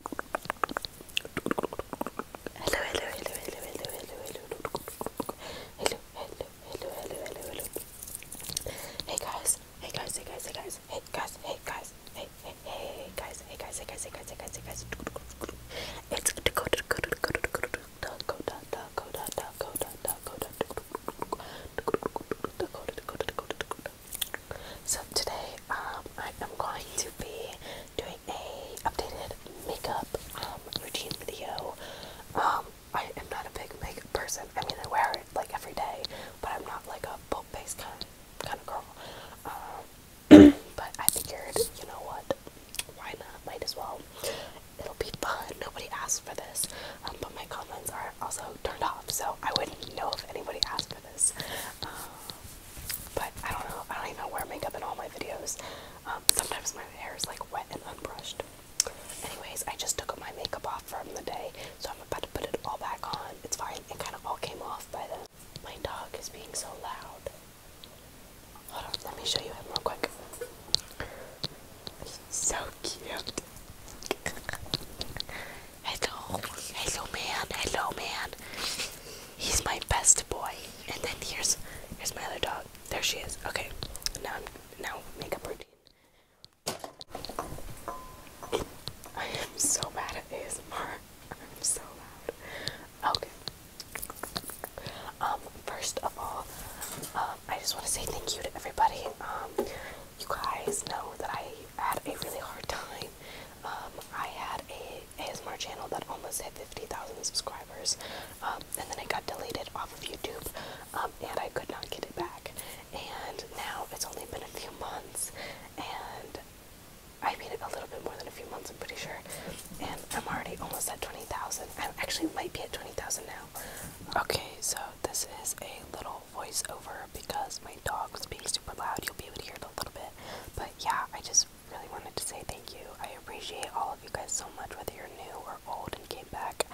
Hello, hello, hello, hello, hello, hello, hello. Hello, hello, hello, hello, hello, hello. Hey guys, hey guys, hey guys, hey guys, hey guys, hey guys, hey, hey, hey guys, hey guys, hey guys, hey guys, hey guys, hey guys. It's go go go go go go go go go go go go So today um, I am going to be doing a updated makeup um, routine video. Um, I am not a big makeup person. I mean, I wear it like every day, but I'm not like a boat face kind of, kind of girl. Um, but I figured, you know what? Why not? Might as well. It'll be fun. Nobody asked for this, um, but my comments are also turned off, so I wouldn't know if anybody asked for this. Um, but I don't know. I don't even wear makeup in all my videos. Um, sometimes my hair is like wet and unbrushed. Anyways, I just took my makeup off from the day, so I'm about to put it all back on. It's fine. It kind of all came off by then. My dog is being so loud. Hold on, let me show you him real quick. He's so cute. Hello, hello man, hello man. He's my best boy. And then here's here's my other dog. There she is. Okay. Now I'm now makeup routine. I am so bad at ASMR. I'm so loud. Okay. Um, first of all, um, I just want to say thank you to everybody. Um, you guys know that I had a really hard time um, I had a ASMR channel that almost hit 50,000 subscribers, um, and then it got deleted off of YouTube, um, and I could not get it back. And now it's only been a few months, and I mean a little bit more than a few months, I'm pretty sure. And I'm already almost at 20,000. I actually might be at 20,000 now. Okay, so this is a little voiceover because my dog was being super loud. You'll be able to hear it a little bit. But yeah, I just really wanted to say thank you. I appreciate all of you guys so much, whether you're new or old and came back.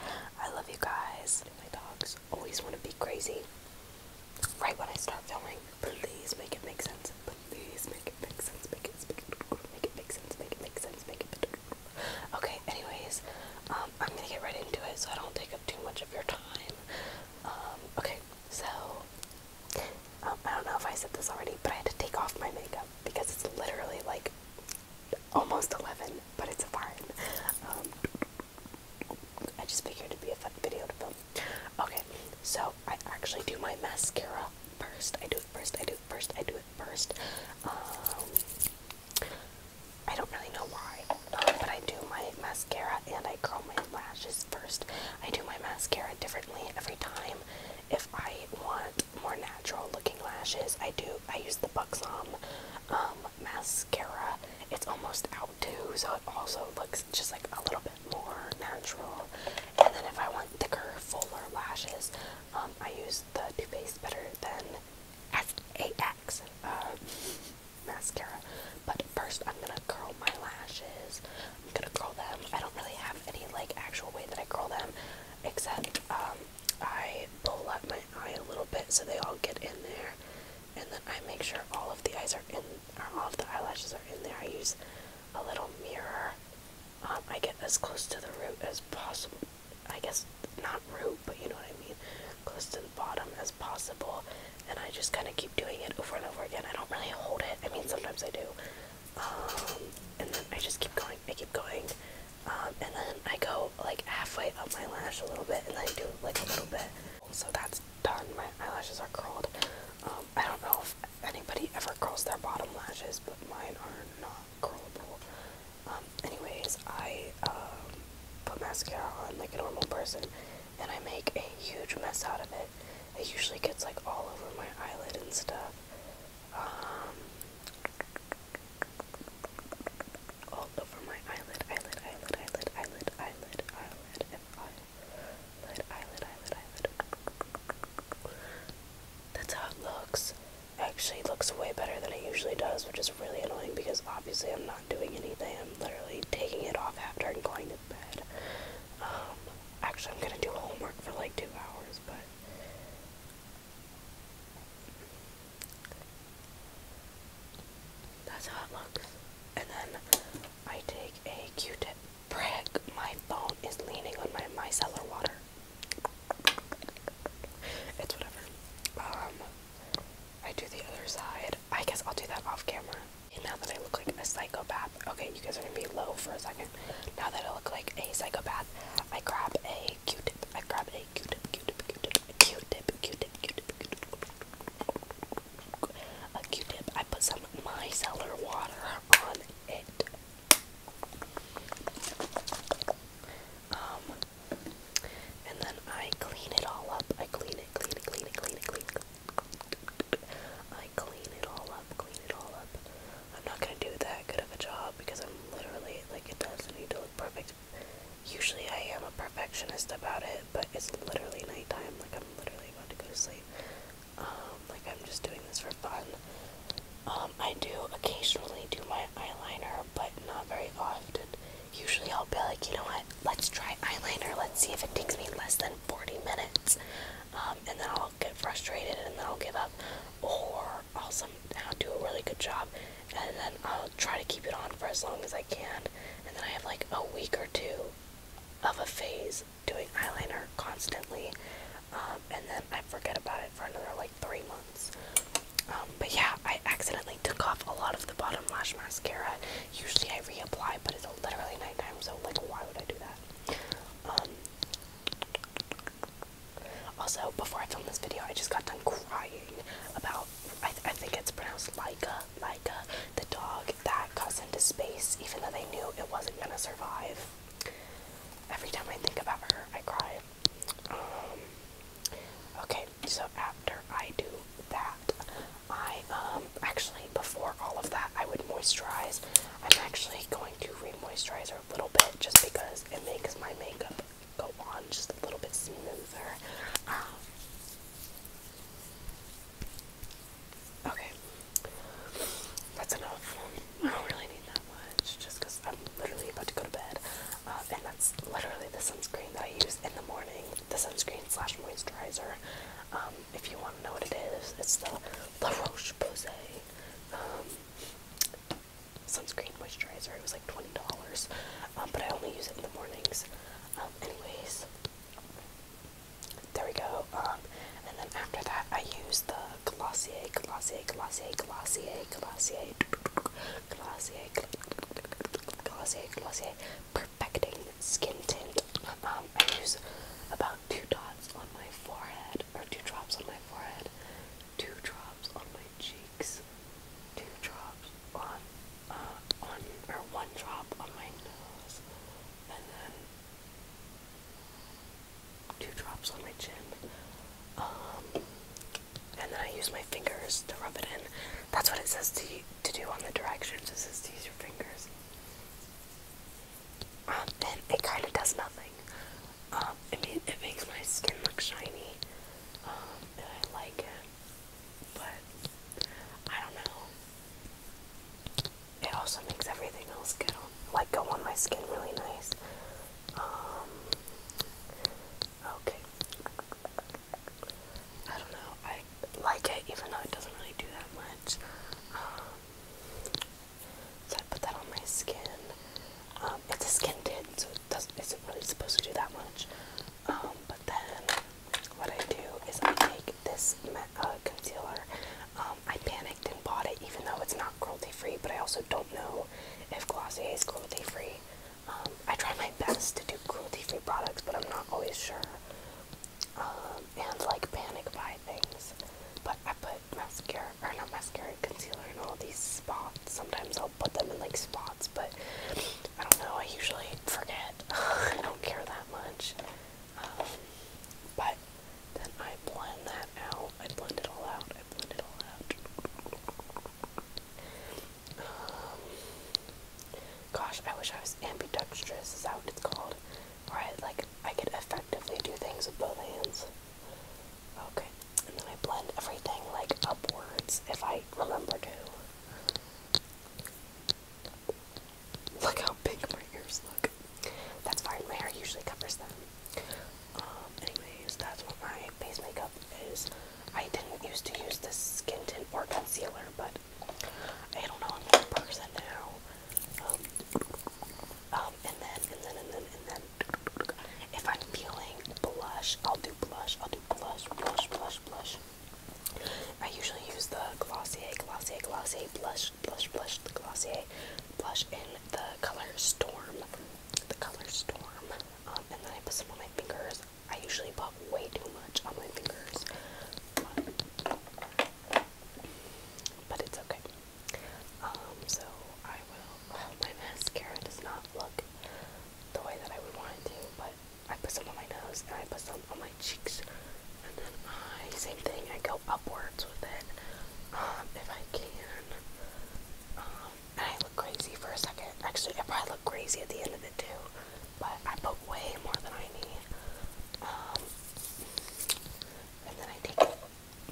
I love you guys. My dogs always want to be crazy. Right when I start filming, please make it make sense. Please make it make sense. Make it make it make it make sense. Make it make sense. Make it. Okay. Anyways, um, I'm gonna get right into it, so I don't take up too much of your time. Um, okay. So, um, I don't know if I said this already, but I had to take off my makeup because it's literally like almost 11, but it's fine. Um, I just figured it'd be a fun video to film. Okay, so I actually do my mascara first. I do it first, I do it first, I do it first. Um, I don't really know why. Um, but I do my mascara and I curl my lashes first. I do my mascara differently every time. If I want more natural looking lashes, I do. I use the Buxom um, mascara. It's almost out too, so it also looks just like a little bit more natural. And then if I want thicker, fuller lashes, um, I use the Too Faced Better Than SAX. Uh, mascara. But first, I'm gonna curl my lashes. I'm gonna curl them. I don't really have any like actual way that I curl them, except um, I pull up my eye a little bit so they all get in there, and then I make sure all of the eyes are in, or all of the eyelashes are in there. I use a little mirror. Um, I get as close to the root as possible. I guess not root, but you know what I mean. Close to the bottom as possible, and I just kind of keep doing it over and over again. I don't really hold it. I mean, sometimes I do. Um, and then I just keep going. I keep going. Um, and then I go like halfway up my lash a little bit, and then I do like a little bit. So that's done. My eyelashes are curled. Um, I don't know if anybody ever curls their bottom lashes, but mine are not curlable. anyways, I put mascara on like a normal person, and I make a huge mess out of it. It usually gets like all over my eyelid and stuff. Um, all over my eyelid, eyelid, eyelid, eyelid, eyelid, eyelid, eyelid, if eyelid, eyelid, eyelid, eyelid. That's how it looks. Actually, it looks way better than it usually does, which is really annoying because obviously I'm not doing anything. I'm literally taking it off after and going um, actually, I'm gonna do homework for like two hours, but. That's how it looks. And then I take a Q-tip. my phone is leaning on my micellar water. It's whatever. Um, I do the other side. I guess I'll do that off camera. And now that I look like a psychopath, okay, you guys are gonna be low for a second. Now that I look like a psychopath, I grab a Q-tip. I grab a Q-tip, Q-tip, Q-tip, Q-tip, Q-tip, Q-tip, Q-tip. A Q-tip. I put some micellar water on it. Um, and then I clean it all up. I clean it, clean it, clean it, clean it, clean it. I clean it all up, clean it all up. I'm not gonna do that good of a job because I'm literally like it doesn't need to look perfect. Usually I am a perfectionist about it, but it's literally nighttime. Like I'm literally about to go to sleep. Um, like I'm just doing this for fun. Um, I do occasionally do my eyeliner, but not very often usually I'll be like, you know what, let's try eyeliner, let's see if it takes me less than 40 minutes, um, and then I'll get frustrated and then I'll give up, or I'll somehow do a really good job, and then I'll try to keep it on for as long as I can, and then I have like a week or two of a phase doing eyeliner constantly, um, and then I forget about it for another like three months. Um, but yeah, I accidentally took off a lot of the bottom lash mascara Usually I reapply, but it's literally nighttime, so like, why would I do that? Um, also, before I filmed this video, I just got done crying about. I, I think it's pronounced Laika, Laika, the dog that got into space, even though they knew it wasn't gonna survive. Every time I think about her, I cry. Um, okay, so after I do that, I um actually before all of that I would moisturize. I'm actually going to re-moisturize a little bit just because it makes my makeup go on just a little bit smoother. Um, okay, that's enough. I don't really need that much just because I'm literally about to go to bed. Uh, and that's literally the sunscreen that I use in the morning the sunscreen slash moisturizer. Um, if you want to know what it is, it's the La Roche Posay um, sunscreen moisturizer. It was like twenty dollars, um, but I only use it in the mornings. anyways, there we go. and then after that, I use the Glossier, Glossier, Glossier, Glossier, Glossier, Glossier, Glossier, Glossier perfecting skin tint. Um, I use about two dots on my forehead, or two drops on my forehead, two drops on my cheeks, two drops on, uh, on, or one drop on my nose, and then two drops on my chin. Um, and then I use my fingers to rub it in. That's what it says to you to do on the directions is just use your fingers. Um, and it kind of does nothing. Um, it, makes my skin look shiny. Um, and I like it. But, I don't know. It also makes everything else go, like, go on my skin really nice. Okay. I don't know. I like it even though it doesn't really do that much. Um, so I put that on my skin. Um, it's a skin tint, so it doesn't, isn't really supposed to do that much. Um, but then what I do is I take this uh, concealer. I panicked and bought it even though it's not cruelty free, but I also don't know if Glossier is cruelty free. I try my best to do cruelty-free products, but I'm not always sure. Um, and like panic buy things. But I put mascara, or not mascara, concealer in all these spots. Sometimes I'll put them in like spots, but I don't know. I usually forget. I don't care that much. Um, but then I blend that out. I blend it all out. I blend it all out. Um, gosh, I wish I was ambidextrous, is that what it's called? Right, like I could effectively do things with both hands. Okay, and then I blend everything like upwards if I remember to. Look how big my ears look. That's fine, my hair usually covers them. Um, anyways, that's what my base makeup is. I didn't used to use this skin tint or concealer, but I don't know, i person now. Um, um, and then, and then, and then, and then, if I'm feeling blush, I'll do blush, I'll do blush, blush, blush, blush. I usually use the Glossier, Glossier, Glossier, blush, blush, blush, the Glossier blush in the color Storm, the color Storm, um, and then I put some on my fingers, I usually pop way too much on my fingers. But, it's okay. Um, so I will. Oh, my mascara does not look the way that I would want it to, but I put some on my nose and I put some on my cheeks, and then I same thing. I go upwards with it um, if I can. Um, and I look crazy for a second. Actually, I probably look crazy at the end of it too but I put way more than I need. Um, and then I take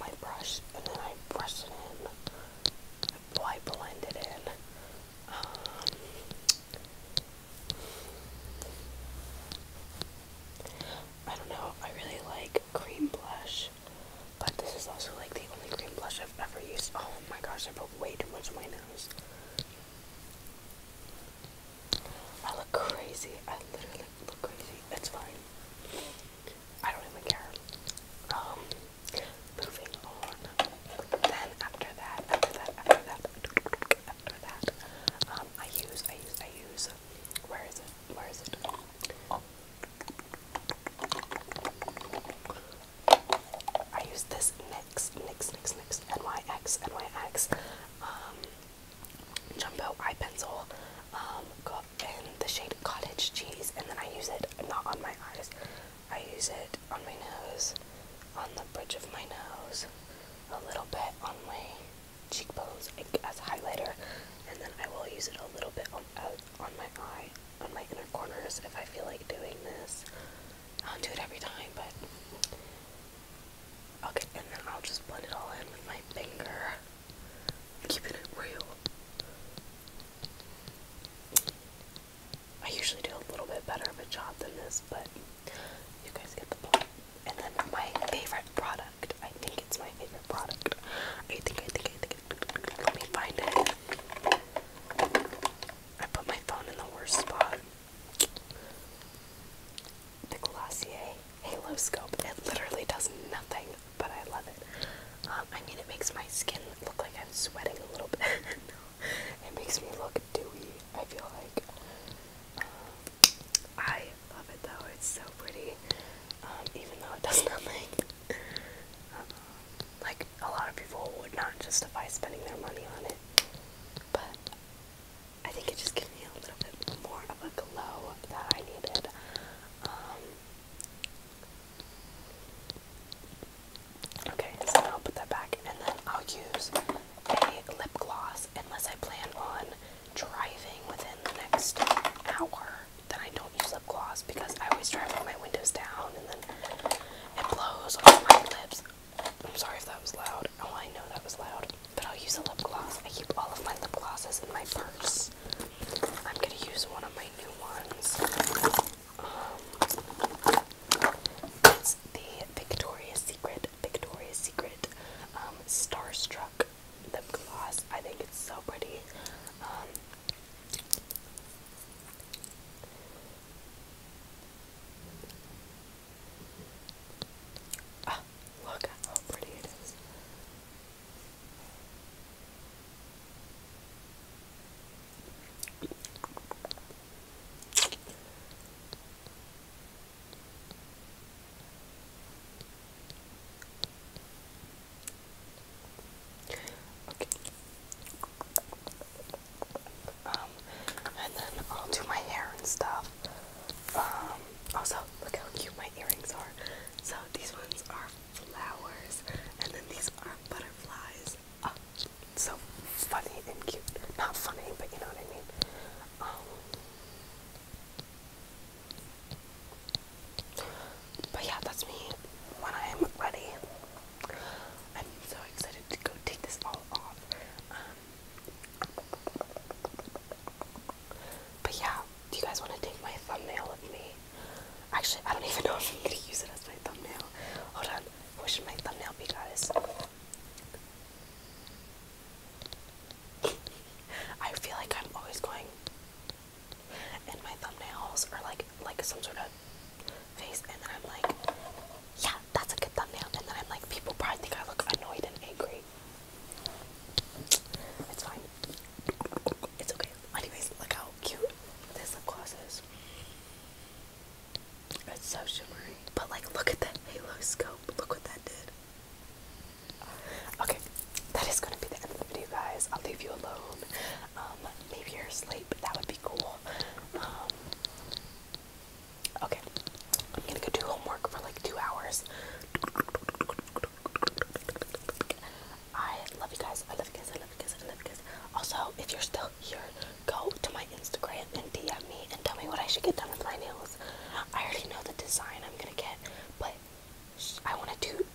my brush and then I brush it in. I blend it in. Um, I don't know. I really like cream blush, but this is also like the only cream blush I've ever used. Oh my gosh, I put way too much on my nose. I look crazy. I literally look crazy. It's fine. I don't even care. Um, moving on. Then after that, after that, after that, after that, um, I use, I use, I use. Where is it? Where is it? I use this NYX, NYX, NYX, NYX, NYX, NYX um, Jumbo Eye Pencil um, in the shade Cottage Cheese, and then I use it not on my eyes, I use it on my nose, on the bridge of my nose, a little bit on my cheekbones as highlighter, and then I will use it a little bit on, uh, on my eye on my inner corners if I feel like doing this. I'll do it every time, but okay, and then I'll just blend it all in with my finger. Keeping it real. I usually do a little bit better of a job than this, but you guys get the point. And then my favorite product. I think it's my favorite product. I think, I think, I think. Let me find it. I put my phone in the worst spot. The Glossier Halo Scope. It literally does nothing, but I love it. Um, I mean, it makes my skin look like I'm sweating a little bit. it makes me look dewy, I feel like. Um, I love it though, it's so pretty. Um, even though it does nothing. Uh-huh like a lot of people would not justify spending their money on it, but I think it just gave me a little bit more of a glow that I needed. Um, okay, so I'll put that back, and then I'll use a lip gloss unless I plan on driving within the next hour. Then I don't use lip gloss because I always drive with my windows down, and then it blows on my lips. I'm sorry if that was loud. Oh, I know that was loud. But I'll use a lip gloss. I keep all of my lip glosses in my purse. I'm gonna use one of my new ones. Um, it's the Victoria's Secret, Victoria's Secret um, Starstruck lip gloss. I think it's so pretty. Um, Ah, look at how pretty it is. Okay. Um, and then I'll do my hair and stuff. Um, also, look how cute my earrings are. So these ones are flowers, and then these are butterflies. Oh, so funny and cute. Not funny, but you know what I mean. Um, but yeah, that's me when I am ready. I'm so excited to go take this all off. Um, but yeah, do you guys want to take my thumbnail with me? Actually, I don't even know if I'm gonna use it as my thumbnail. Hold on, what my thumbnail be, guys? I feel like I'm always going and my thumbnails are like like some sort of face and then I'm like, yeah, that's a good thumbnail and then I'm like people probably think I look annoyed and angry. It's fine. It's okay. Anyways, look how cute this lip It's so shimmery. But like look at that halo scope. Look what that did. Okay, that is gonna be the end of the video guys. I'll leave you alone. Um, maybe you're asleep. That would be cool. Um, okay. I'm gonna go do homework for like two hours. I love you guys. I love you guys. I love you guys. I love you guys. Also, if you're still here, go to my Instagram and DM me and tell me what I should get done with my nails. I already know the design I'm gonna get, but I want to do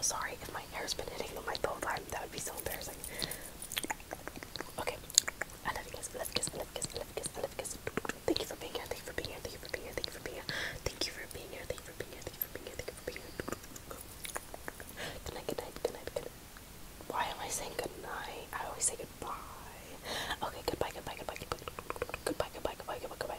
Sorry if my hair's been hitting my phone That would be so embarrassing. Okay. I love you guys. I love you guys. I love you guys. I I love you guys. Thank you for being here. Thank you for being here. Thank you for being here. Thank you for being here. Thank you for being here. Thank you for being here. Good night. Good night. Good night. Good night. Why am I saying good night? I always say goodbye. Okay. Goodbye. Goodbye. Goodbye. Goodbye. Goodbye. Goodbye. Goodbye. Goodbye.